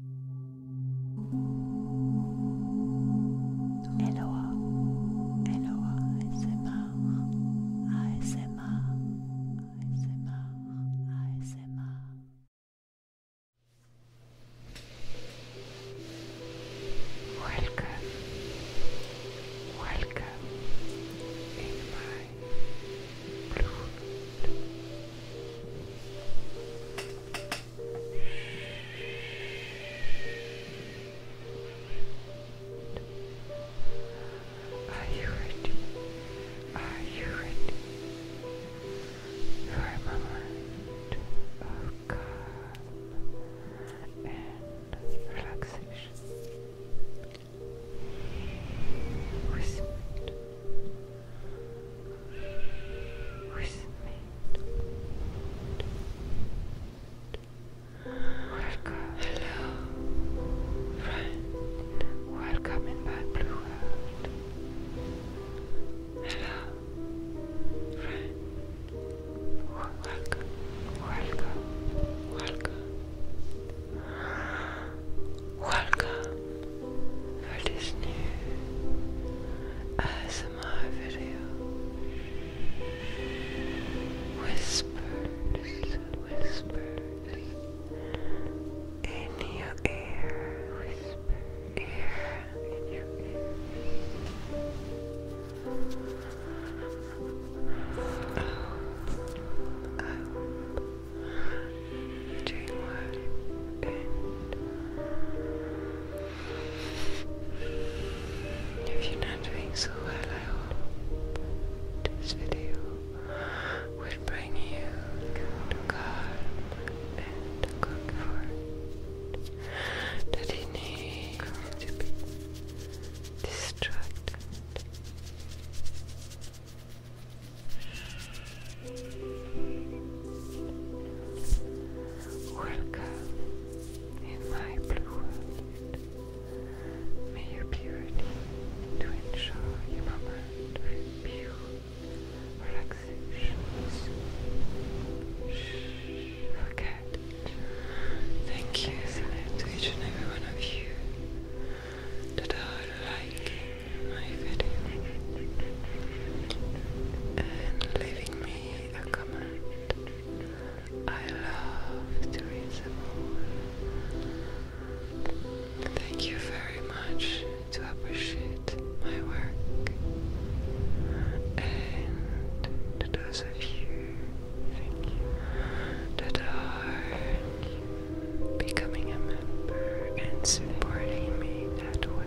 Eloa, Eloa ASMR, ASMR, ASMR, ASMR. Welcome, welcome in my are you ready? Are you ready? For a moment of calm and relaxation. Whisper with me. Welcome, hello, friend. Welcome in my blue world. Hello, friend. Welcome, welcome, welcome, welcome. for this new ASMR video. Whispers, whispers in your ear, whisper ear in your ear. I hope, I if you're not doing so well I hope this video will bring you to and comfort that you need to be distracted Welcome in my blue world. May your purity to ensure your moment with pure relaxation. forget. Thank you, to each and every one of you that are liking and leaving me a comment. I love to read them all. Thank you very much to appreciate my work and to those of you thank you, that are becoming a member and supporting me that way.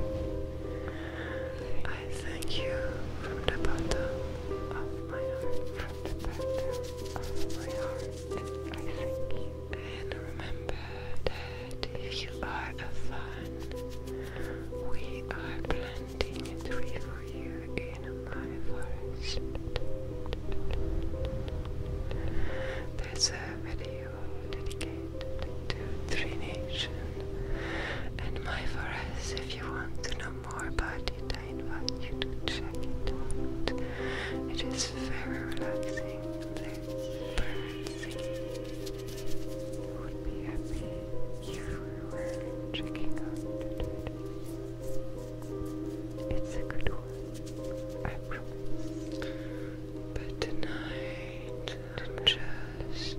I thank you from the bottom of my heart, from the bottom of my heart. I thank you. And remember that if you are a fan, we are planting a tree for you in my forest. There's a video dedicated to Three Nation and my forest. If you want to know more about it, I invite you to check it out. It is very relaxing. There's birds singing. You would be happy if we were checking out It's a good one, I promise. But tonight and just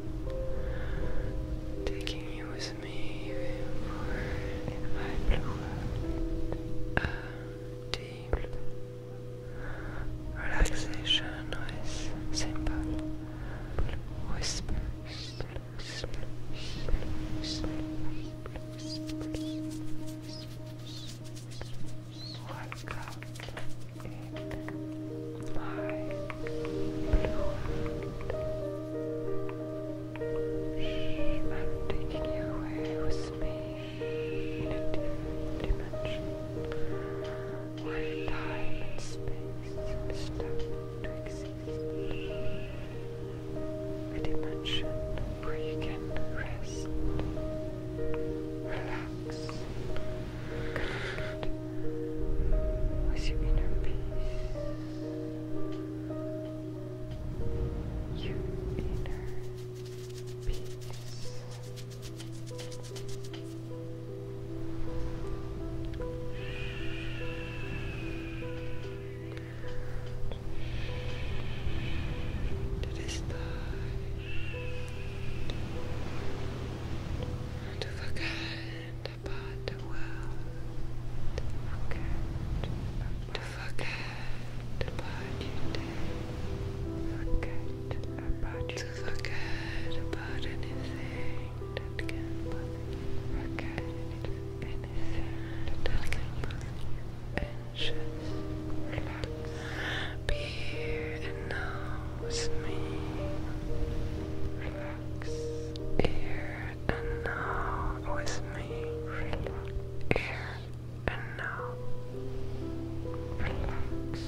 taking you with me for uh, my deep relaxation with simple whispers. Welcome. Shh, I'm taking you away with me in a dimension where time and space stop to exist. A dimension where you can rest, relax. I see your inner peace. Your inner peace. It is time and forget about the world. To forget about your To forget about anything that can bother you. Forget anything that can bother you. Be and knows me. Relax. Here and now with me. Relax. Here and now. Relax.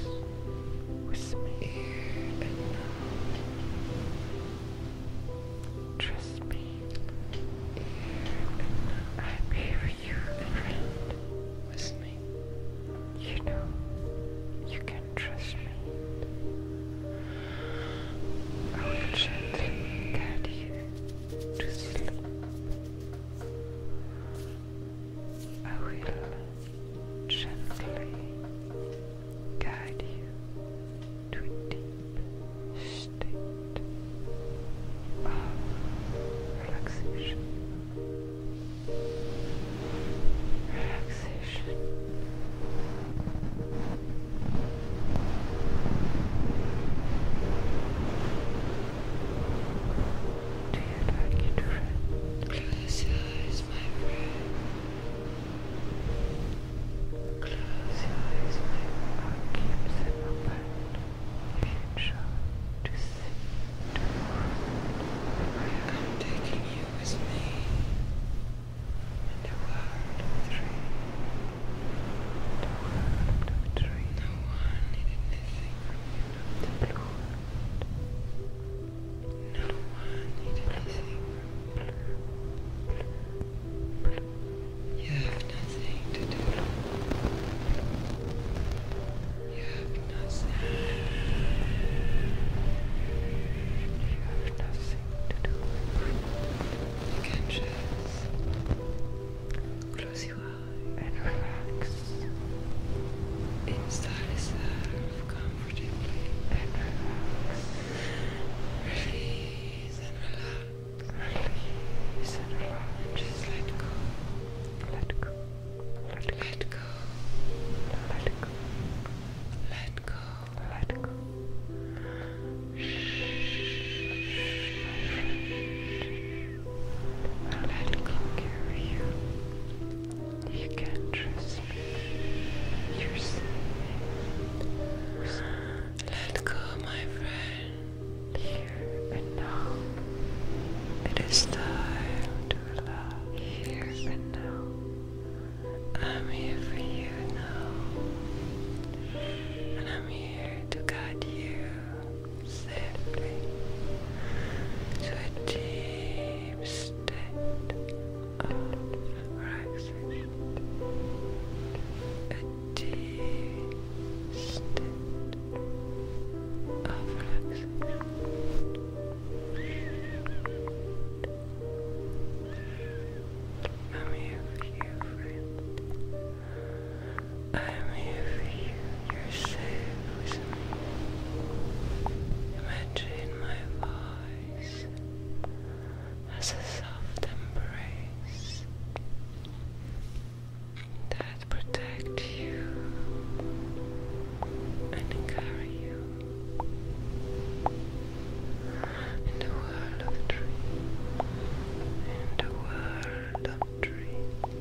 With me. Here and now. Trust me. Here and now. I'm here for you friend. With me. You know, you can trust me. I will gently guide you to sleep. I will gently guide you to a deep state of relaxation relaxation. Do you like it, friend? Close your eyes, my friend. Close your eyes, my friend. keep them open. Make sure I'm taking you with me the world of The world of No one needed anything from you, the blue No one needed anything You have nothing to do. You have nothing. You have nothing to do. can just uh, close your eyes and relax. Install yourself comfortably relax. Release and relax. Release and relax. Just let go. Let go. Let go. Let go. Let go. Let go. Shh, my friend. Let go carry you. You can trust me. You're safe. Let go, my friend. Here and now. It is time to and and now. I'm here for you now. And I'm here to guide you safely to a deep state of relaxation. A deep state of relaxation. I'm here for you, friend. I'm here for you. You're safe with me. Imagine my voice as a soft embrace that protect you and carry you in the world of dreams, in the world of dreams.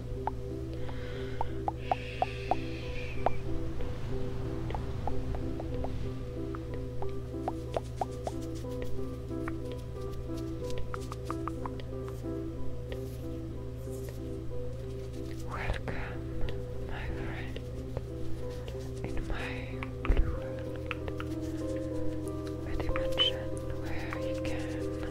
Welcome, my friend, in my blue world, a dimension where you can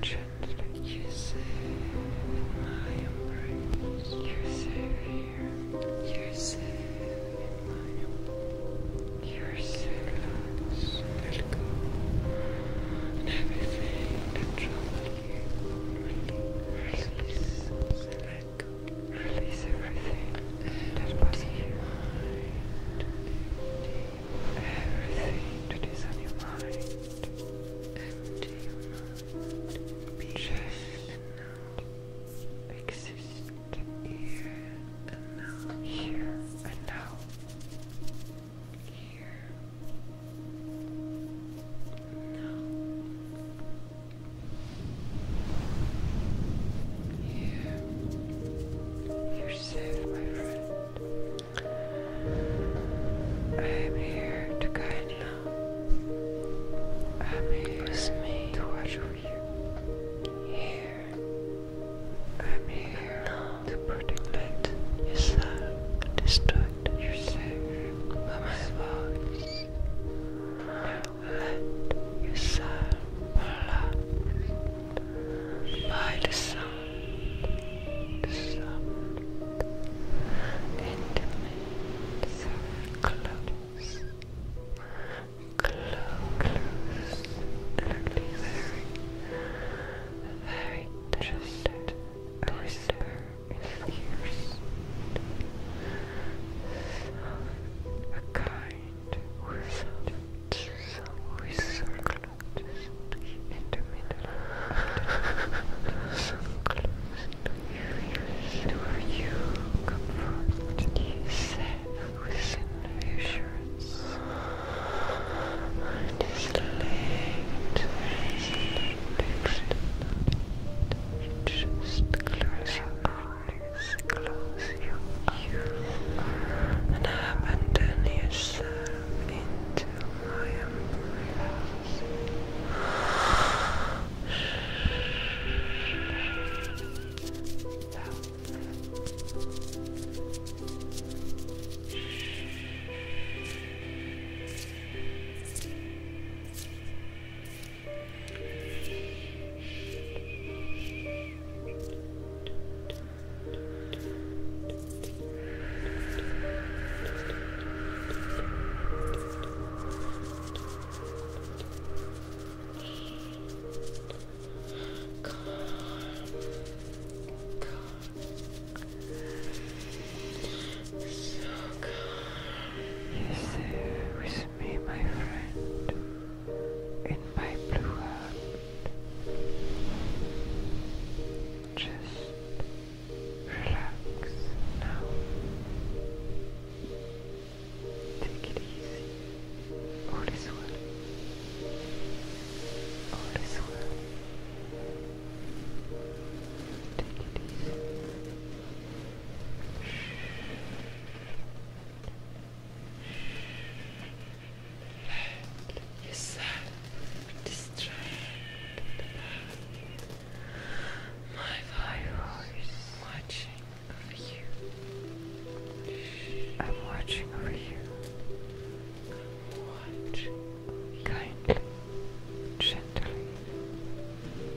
Gently, you're safe my embrace. You're here. You're in my embrace. You're Let go. And everything release. Release everything and it was behind everything that is on your mind. Empty your mind. Be just now. Exist here and now. Here and now. Here. Now. Yeah. You're safe, my friend. I am here to guide you. I'm here to watch over you. Here. I'm here to protect Let yourself distract yourself by my voice let yourself relax by the sound, the sound, intimate, close, close, close, very, very tender, a whisper in the ears. A kind result, result in the middle of so close to you to where you comfort yourself within reassurance and just late, just close eyes, close your eyes, and abandon yourself into my embrace. So calm. You stay with me, my friend in my blue heart. Just relax now. Take it easy. All is well. All is well. Take it easy. Shh. Let yourself distract the My fire watching over you. I'm watching over you. Watch kindly, gently,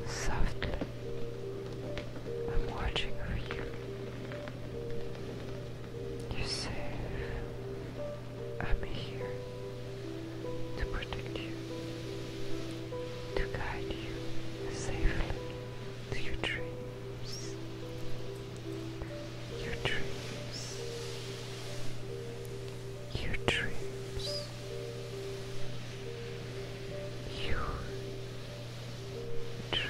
softly. I'm watching over you. You're safe. I'm here to protect you, to guide you safely to your dreams. Your dreams. Your dreams. Your trees.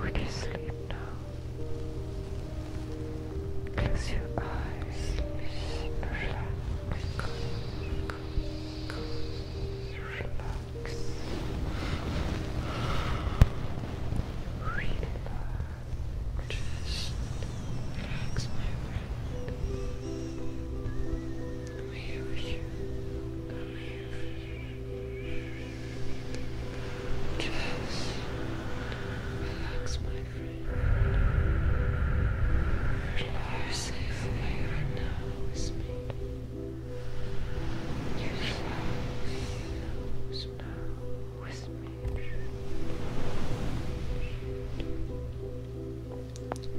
When you sleep now, close your eyes relax. Relax. Relax. Just relax, my friend. Come here. here. Just relax, my friend. You are safe right now with me. You are safe now with me.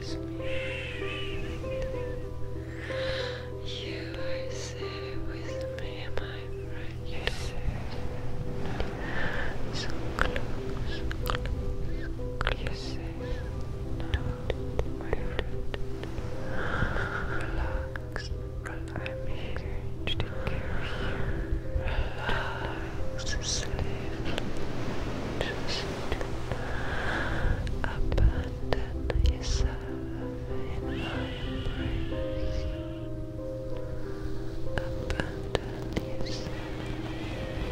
You are safe with me, my friend. You're So close, close, close. You're safe. Relax. I'm here to take care of you to sleep, to sleep. Abandon yourself in my embrace. Abandon yourself.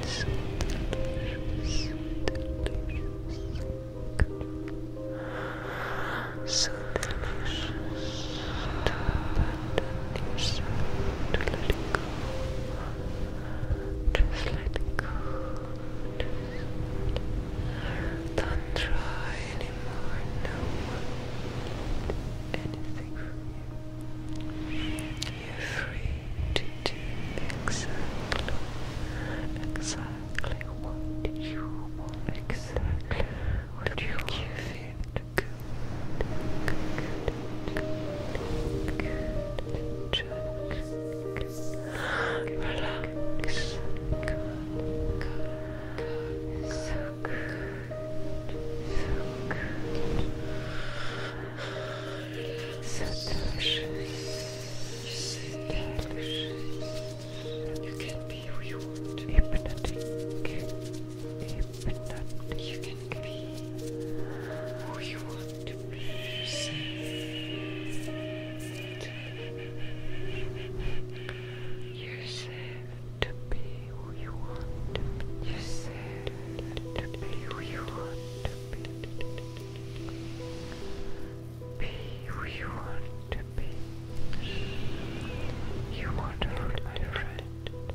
It's delicious, delicious. So delicious to abandon yourself, to let it go. Just let it go. Just don't try anymore. No one did anything for you. You're free to do exactly, exactly what you want, exactly what you give it. Good, good, good. Good. Check. Relax. Good. Good. So good. So good. So delicious. delicious. You can be who you want. Hypnotic. Hypnotic. You be who you want to be. You're to be who you want to be. You're to be who you want to be. Be who you want to be. You want to hurt my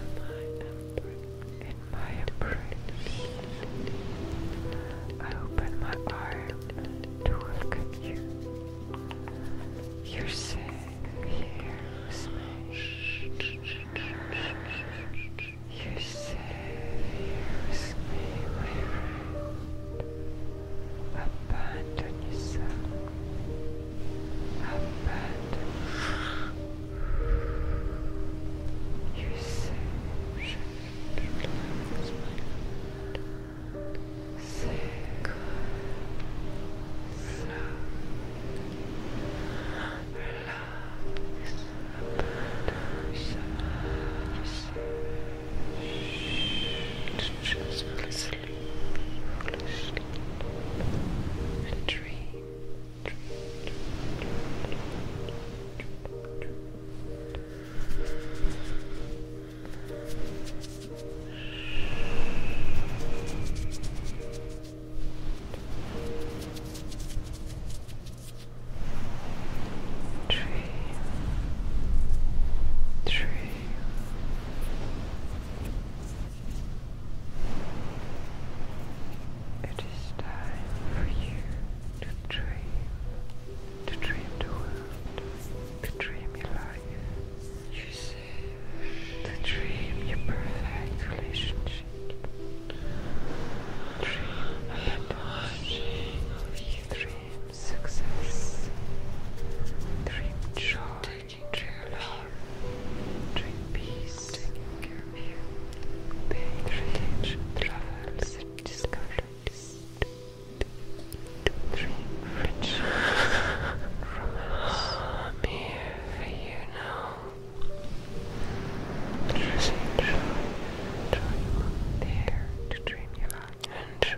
abandoned in my embrace. I open my arms to look you. You're safe here with me. You're safe with me, my friend. Abandon yourself. Abandon. You say, say, Relax. Abandon yourself. Just relax sleep, fall dream, dream, dream, Dream, dream, it is time for you to dream, to dream the world, to dream your life, you see, to dream your perfect relationship, dream abundance, dream success, dream joy, dream peace, taking care of you, dream discoveries, dream rich I'm here for you now. Dream joy, joy, there to dream your life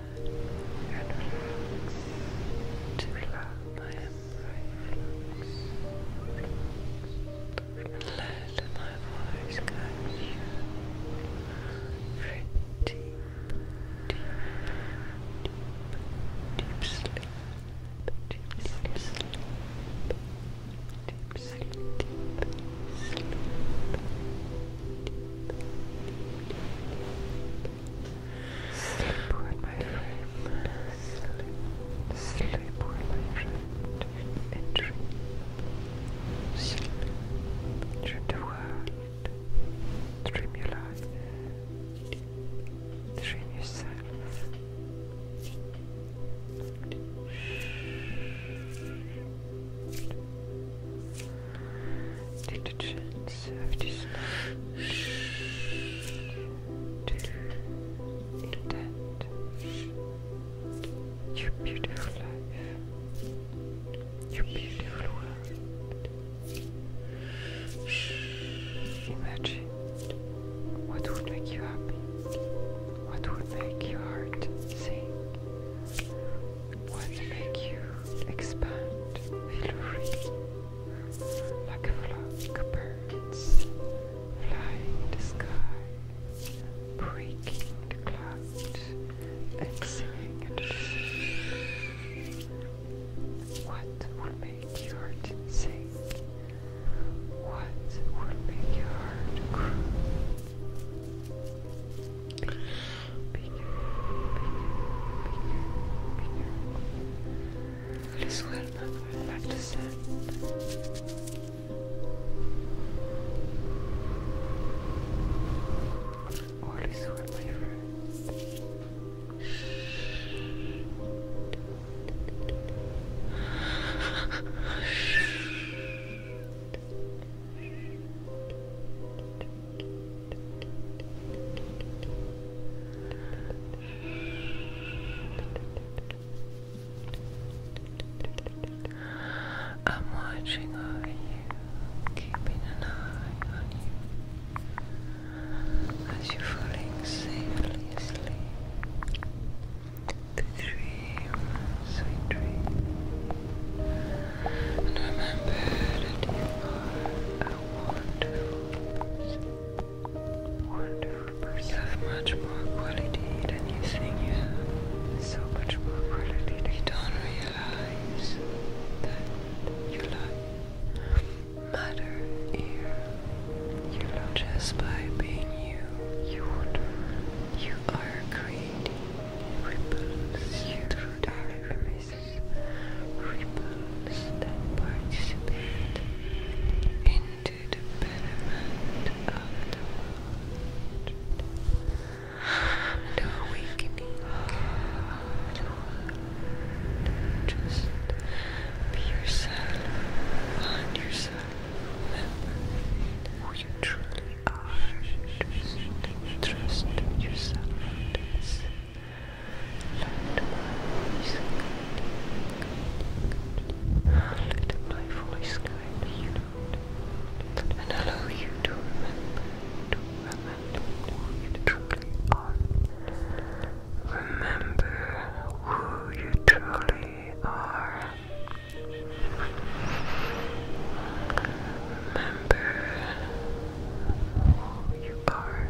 and relax. To relax, I am right. Let my voice catch you. Deep, deep, deep, deep sleep. Deep sleep. Deep sleep. Deep sleep. Deep sleep. Deep, deep, deep, deep, deep, Sleep with my friend. Sleep. Sleep with my friend. And dream. Sleep. Dream the world. Dream your life. Dream yourself. Shh. Take the chance of this to intend your beautiful life, your beautiful world. Imagine what would make you happy, what would make your heart sing what make you expand feel like a flock of birds flying in the sky breaking the clouds and singing in the what will make your heart sing what will make your heart grow bigger, bigger, bigger, bigger. This will not go back to sand. All is well, my friend. Shh. I'm watching over you, keeping an eye on you as you're falling safely asleep. dream, sweet dream. And remember that you are wonderful, wonderful You have much more quality than you think you have. So much more quality you don't realize that you love matter here. You love just by being you. You are creating ripples you through the ripples that participate into the betterment of the awakening Just be yourself, find yourself, remember who you truly are. Just trust yourself. Let my voice guide you, and allow you to remember, to remember who you truly are. Remember who you truly are. Remember your car.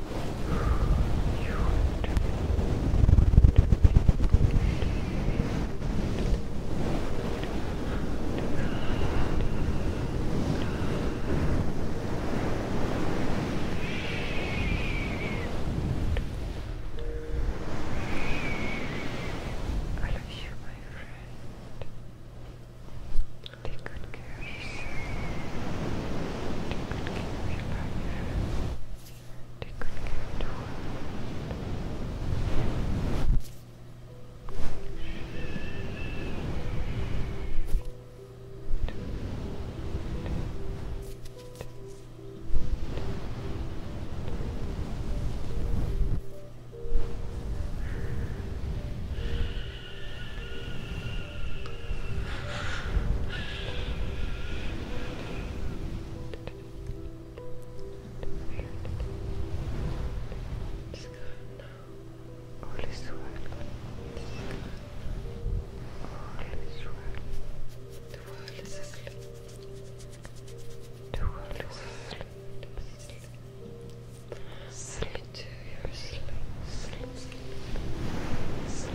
I love you, my friend. Take good care of yourself. Take good care of your partner. Take good care of the world. It's good now. All is well. It's good. All is well. The world is asleep. The world is asleep. Sleep into your sleep. Sleep, sleep, sleep.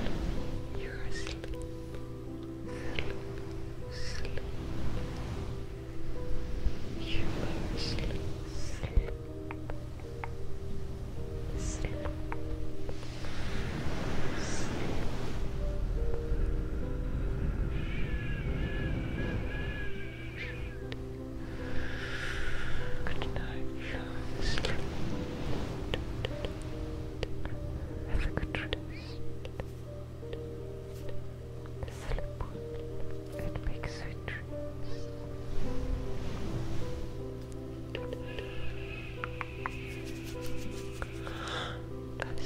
Your sleep. Sleep, sleep. You are sleep. Sleep. Sleep. Sleep. Good night rest. Have a good Sleep well and make sweet dreams. Sleep. Sleep.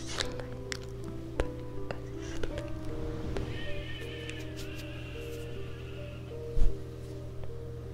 Sleep.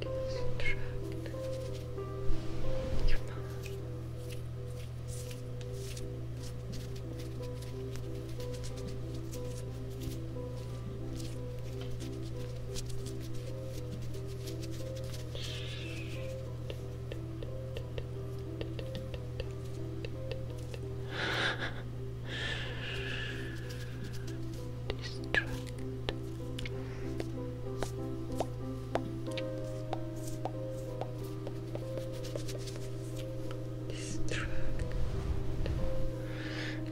contract your mouth distract. Distract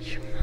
your mind.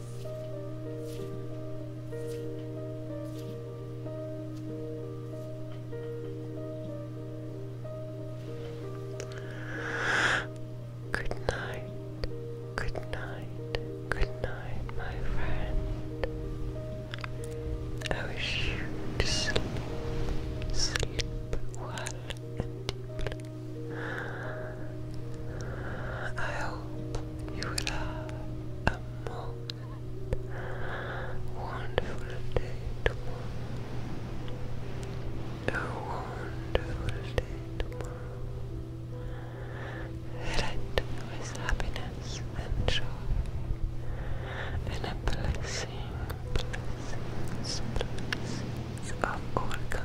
Good night, good night, good night, my friend. I wish you to sleep, sleep well and deeply. I hope You'll have a more wonderful day tomorrow. A wonderful day tomorrow. Filled with happiness and joy. And a blessing, blessings, blessings of kind.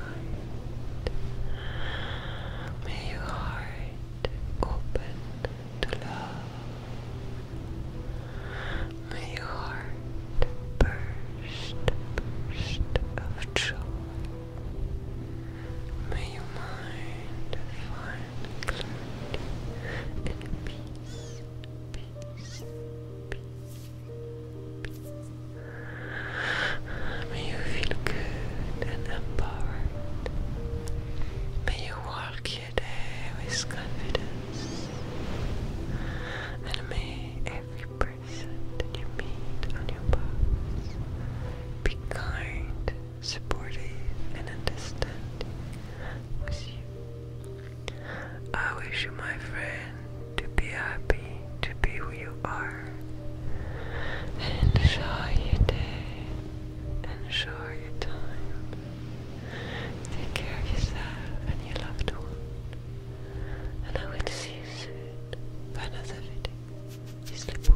May your open to love. May heart burst, burst of joy. May your mind find and peace, peace, peace, peace. May you feel good and empowered. May you walk your day with confidence, and may every person you meet on your path be kind, supportive, and understanding with you. I wish you, my friend, to be happy, to be who you are, and enjoy your day. Enjoy your time. Take care of yourself and your loved one. And I will see you soon for another video. sleep well.